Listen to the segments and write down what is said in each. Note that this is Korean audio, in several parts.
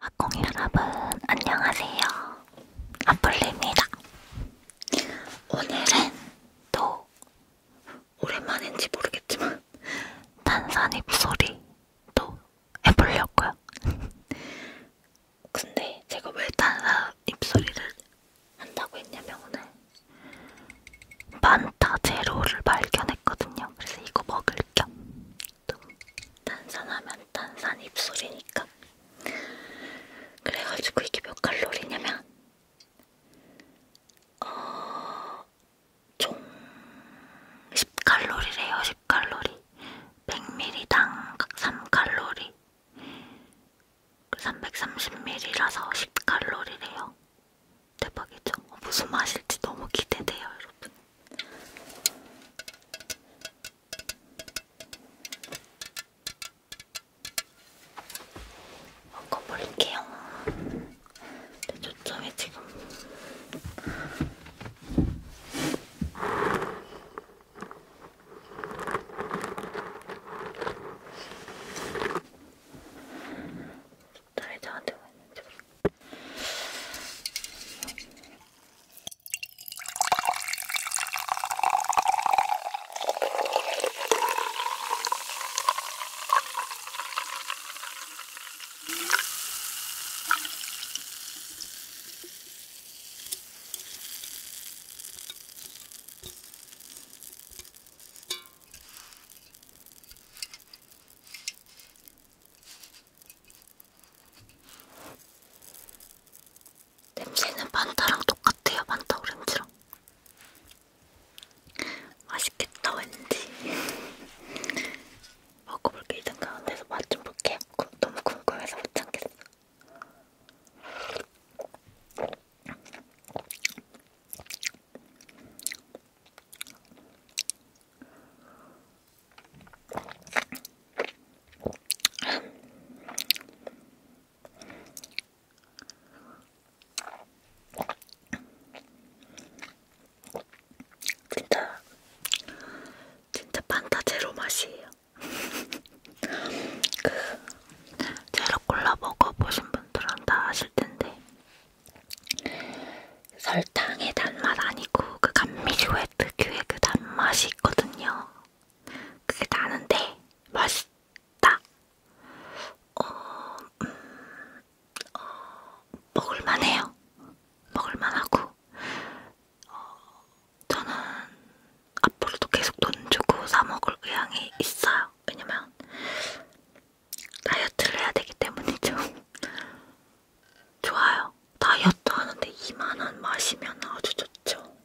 학공 여러분 안녕하세요. 아플리입니다. 오늘은 또 오랜만인지 모르겠지만 탄산이 부소리도 해보려고요. 근데 제가 왜 탄산 입소리를 한다고 했냐면 오늘 만타 제로를 발견했거든요. 그래서 이거 먹을 겸 탄산하면 탄산 입소리니까 그래가지고 이게 몇 칼로리냐면 그 어, 총 10칼로리래요. 10칼로리. 100ml당 3칼로리. 330ml라서 10칼로리래요. 대박이죠? 무슨 맛일지 너무 기대돼요, 여러분. 바꿔버릴게요. 근데 초점이 지금 딸이 저한테 왜 있는지 냄새는 반타랑 똑같아요. 반타 오렌지랑. 맛있겠다 왠지 먹어볼게 일단 가운데서 맛 좀 볼게요 구, 너무 궁금해서 못 참겠어 진짜 진짜 판타 제로 맛이에요. 그 제로 콜라 먹어보신 분들은 다 아실 텐데 설탕의 단맛 아니고 그 감미료의 특유의 그 단맛이 있거든요. 그게 나는데 맛있다 어, 음, 어, 먹을만해요. 먹을만하고 어, 저는 앞으로도 계속 돈 주고 사 먹을 의향이 있어요. 왜냐면 다이어트를 해야 되기 때문이죠. 좋아요. 다이어트 하는데 2만원 마시면 아주 좋죠.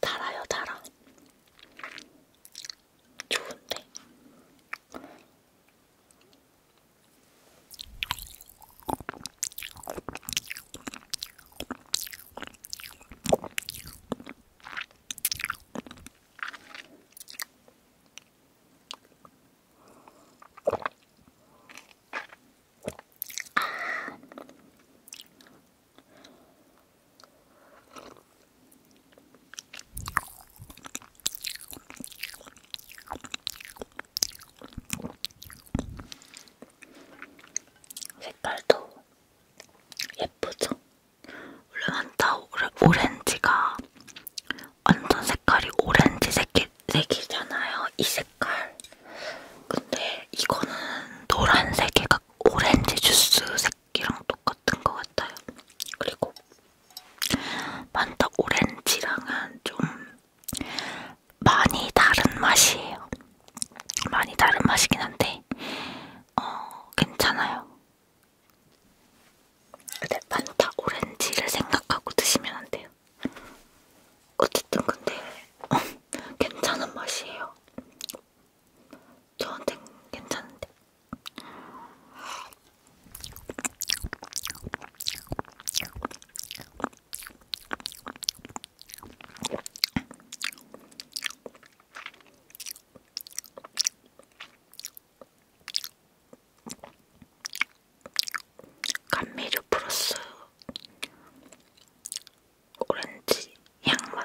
달아요, 달아. 좋은데. 색깔도 예쁘죠? 원래 환타 오렌지가 완전 색깔이 오렌지 색이, 색이잖아요. 이 색깔. 근데 이거는 노란색이 가 오렌지 주스 색이랑 똑같은 것 같아요. 그리고 환타 오렌지랑은 좀 많이 다른 맛이에요. 많이 다른 맛이긴 한데 어 괜찮아요. 근데 판타 오렌지를 생각하고 드시면 안 돼요. 어쨌든 근데 어, 괜찮은 맛이에요. 저한테 괜찮은데. 감미료 플러스 오렌지 향맛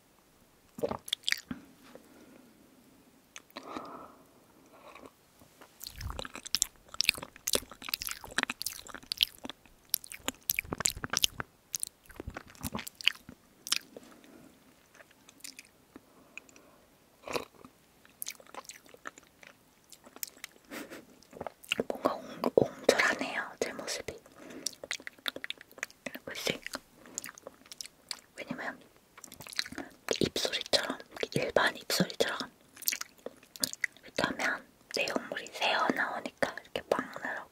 뭔가 옹, 옹졸하네요, 제 모습이. 이러고 있으니까 왜냐면 입소리처럼 일반 입소리처럼 이렇게 하면 내용물이 새어 나오니까 이렇게 빵 나라고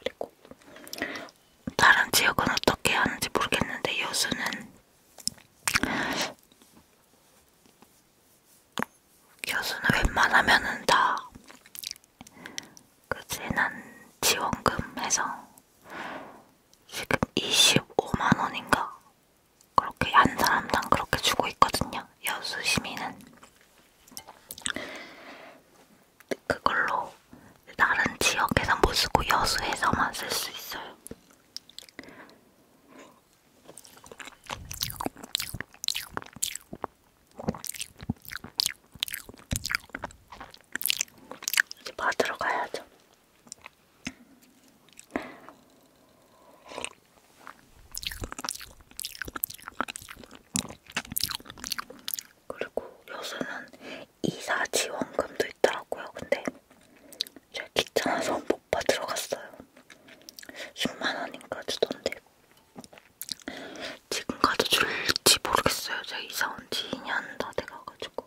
그리고 다른 지역은 어떻게 하는지 모르겠는데 여수는 여수는 웬만하면은 다그 재난 지원금 해서 지금 25만 원인가 그렇게 한 사람당 그렇게 주고 있거든요. 여수 시민은 그걸로 다른 지역에서 못 쓰고 여수에서만 쓸 수 있어요. 이제 받으러 가야죠. 그리고 요새는 이사 지원금도 있더라고요. 근데 제가 귀찮아서 못 받으러 갔어요. 10만원인가 주던데 지금 가도 줄지 모르겠어요. 제가 이사 온지 2년 다 돼가가지고.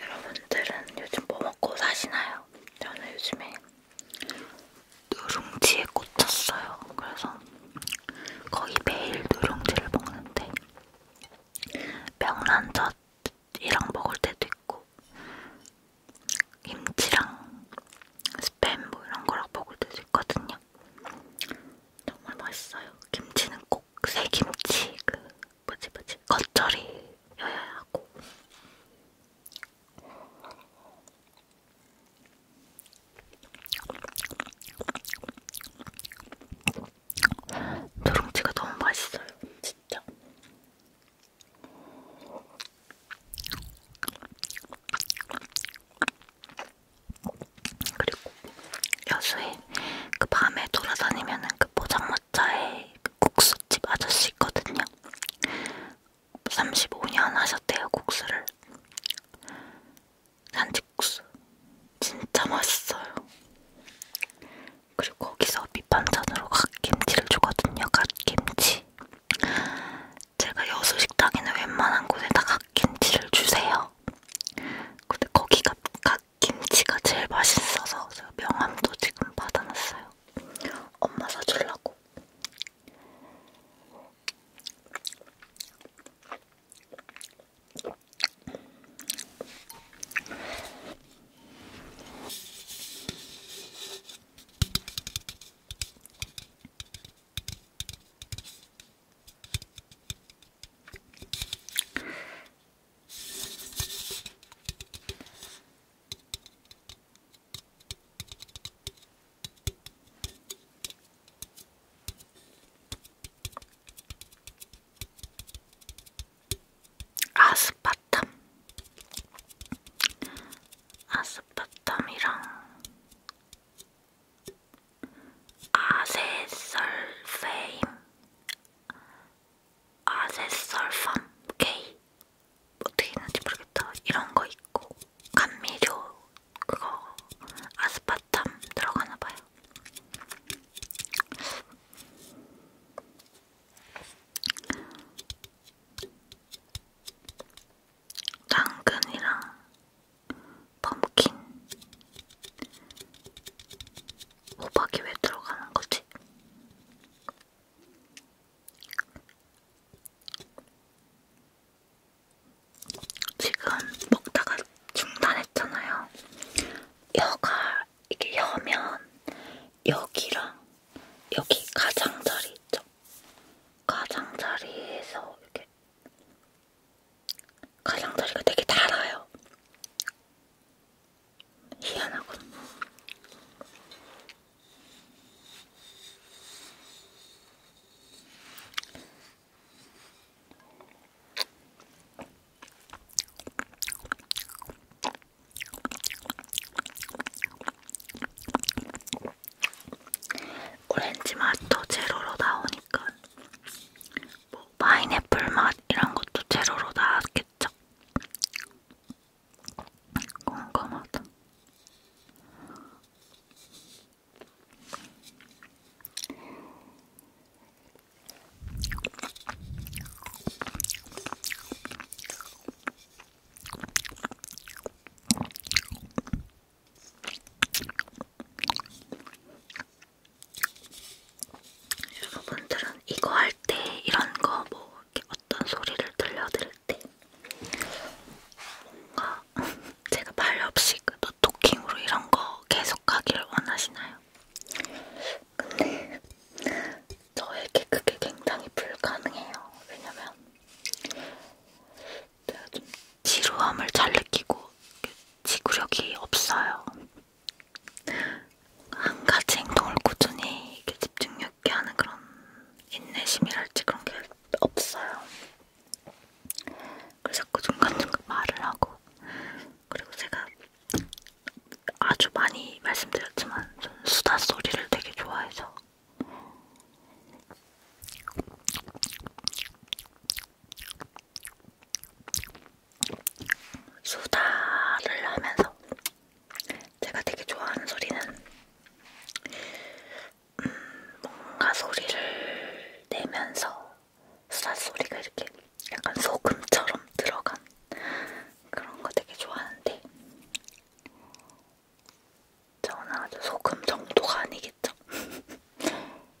여러분들은 요즘 뭐 먹고 사시나요? 저는 요즘에 누룽지에 꽂혔어요. 그래서 거의 매일 누룽지를 먹는데 명란젓이랑 먹을 때도 있고 김치랑 스팸 뭐 이런 거랑 먹을 때도 있거든요. 정말 맛있어요. 김치는 꼭새 김치 그 뭐지 뭐지 겉절이여야 하고 누룽지가 너무 맛있어요 진짜 그리고 여수에 그 밤에 돌아다니면은 그 포장마차에 그 국수집 아저씨 있거든요. 35년 하셨대요 국수를. 산지국수 진짜 맛있어요. 그리고 거기서 밑반찬으로 갓김치를 주거든요. 갓김치. 제가 여수 식당에는 웬만한 곳에 다 갓김치를 주세요. 근데 거기 가, 가, 김치가 제일 맛있어서 제가 명함도 지금 받아놨어요. 엄마 사주려고. 아스파탐, 아스파탐이랑 아세설페임 아세설팜 K 어떻게 있는지 모르겠다 이런 거 있고 감미료 그거 아스파탐 들어가나 봐요. 당근이랑 펌킨 호박이 왜 들어가는 거지? 지금 먹다가 중단했잖아요. 혀가 이게 혀면 여기랑 여기 가장자리 있죠? 가장자리에서 이렇게 가장자리가 되게 달아요. 희한하군. 오렌지 맛도 제로로 나오니까 뭐 파인애플 맛 이런 것도 제로로 나왔겠죠? 궁금하다. 여러분들은 이거 할 때 이런 거 뭐 이렇게 어떤 소리를 들려드릴 때 뭔가 제가 말 없이 그 노토킹으로 이런 거 계속하기를 원하시나요? 근데 저에게 그게 굉장히 불가능해요. 왜냐면 제가 좀 지루함을 잘 느끼고 그 지구력이 없어요. 한 가지 행동을 꾸준히 이렇게 집중력 있게 하는 그런 인내심이랄지 그런 게 없어요. 그래서 자꾸 그 중간중간 말을 하고 그리고 제가 아주 많이 말씀드렸지만 저는 수다 소리를 되게 좋아해서 수다를 하면서 제가 되게 좋아하는 소리는 음, 뭔가 소리를 내면서 수다 소리가 이렇게 약간 소금처럼 들어간 그런 거 되게 좋아하는데 저는 아주 소금 정도가 아니겠죠?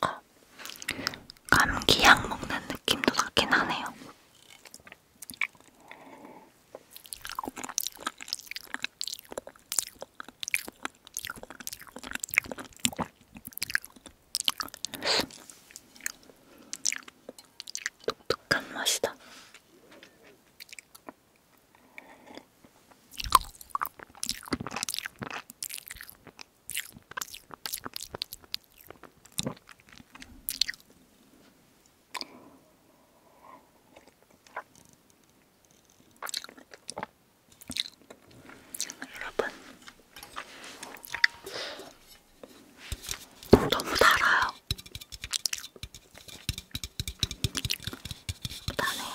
뭔가 감기약 먹는 느낌도 나긴 하네요. 독특한 맛이다. 여러분, 너무 달아요. 달아요.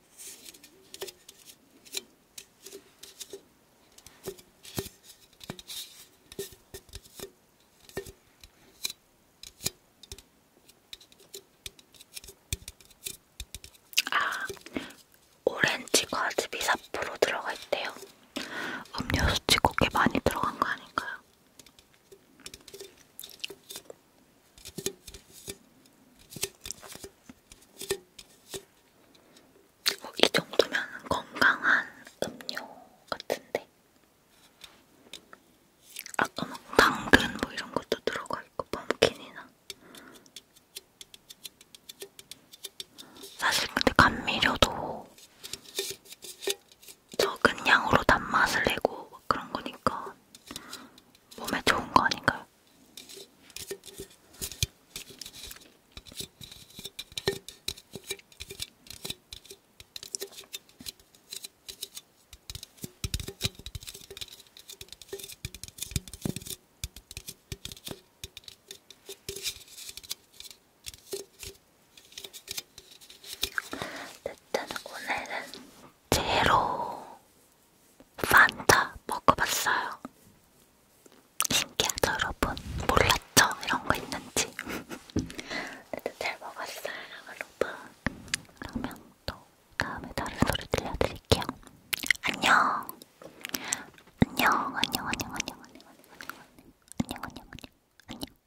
아, 오렌지 과즙이 4% 들어가 있대요. 음료수 치고 꽤 많이 들어간 거 아닌가요? 어, 이 정도면 건강한 음료 같은데 아까 막 당근 뭐 이런 것도 들어가 있고 펌킨이나 사실 근데 감미료도 적은 양으로 단맛을 내고 그런 거니까 몸에 좋은 거 아닌가요? 네, 일단 오늘은 제로 판다 먹어봤어요. 신기하죠, 여러분? 몰랐죠? 이런 거 있는지. 근데 잘 먹었어요, 여러분. 그러면 또 다음에 다른 소리 들려드릴게요. 안녕. 안녕, 안녕, 안녕, 안녕, 안녕, 안녕, 안녕, 안녕, 안녕, 안녕.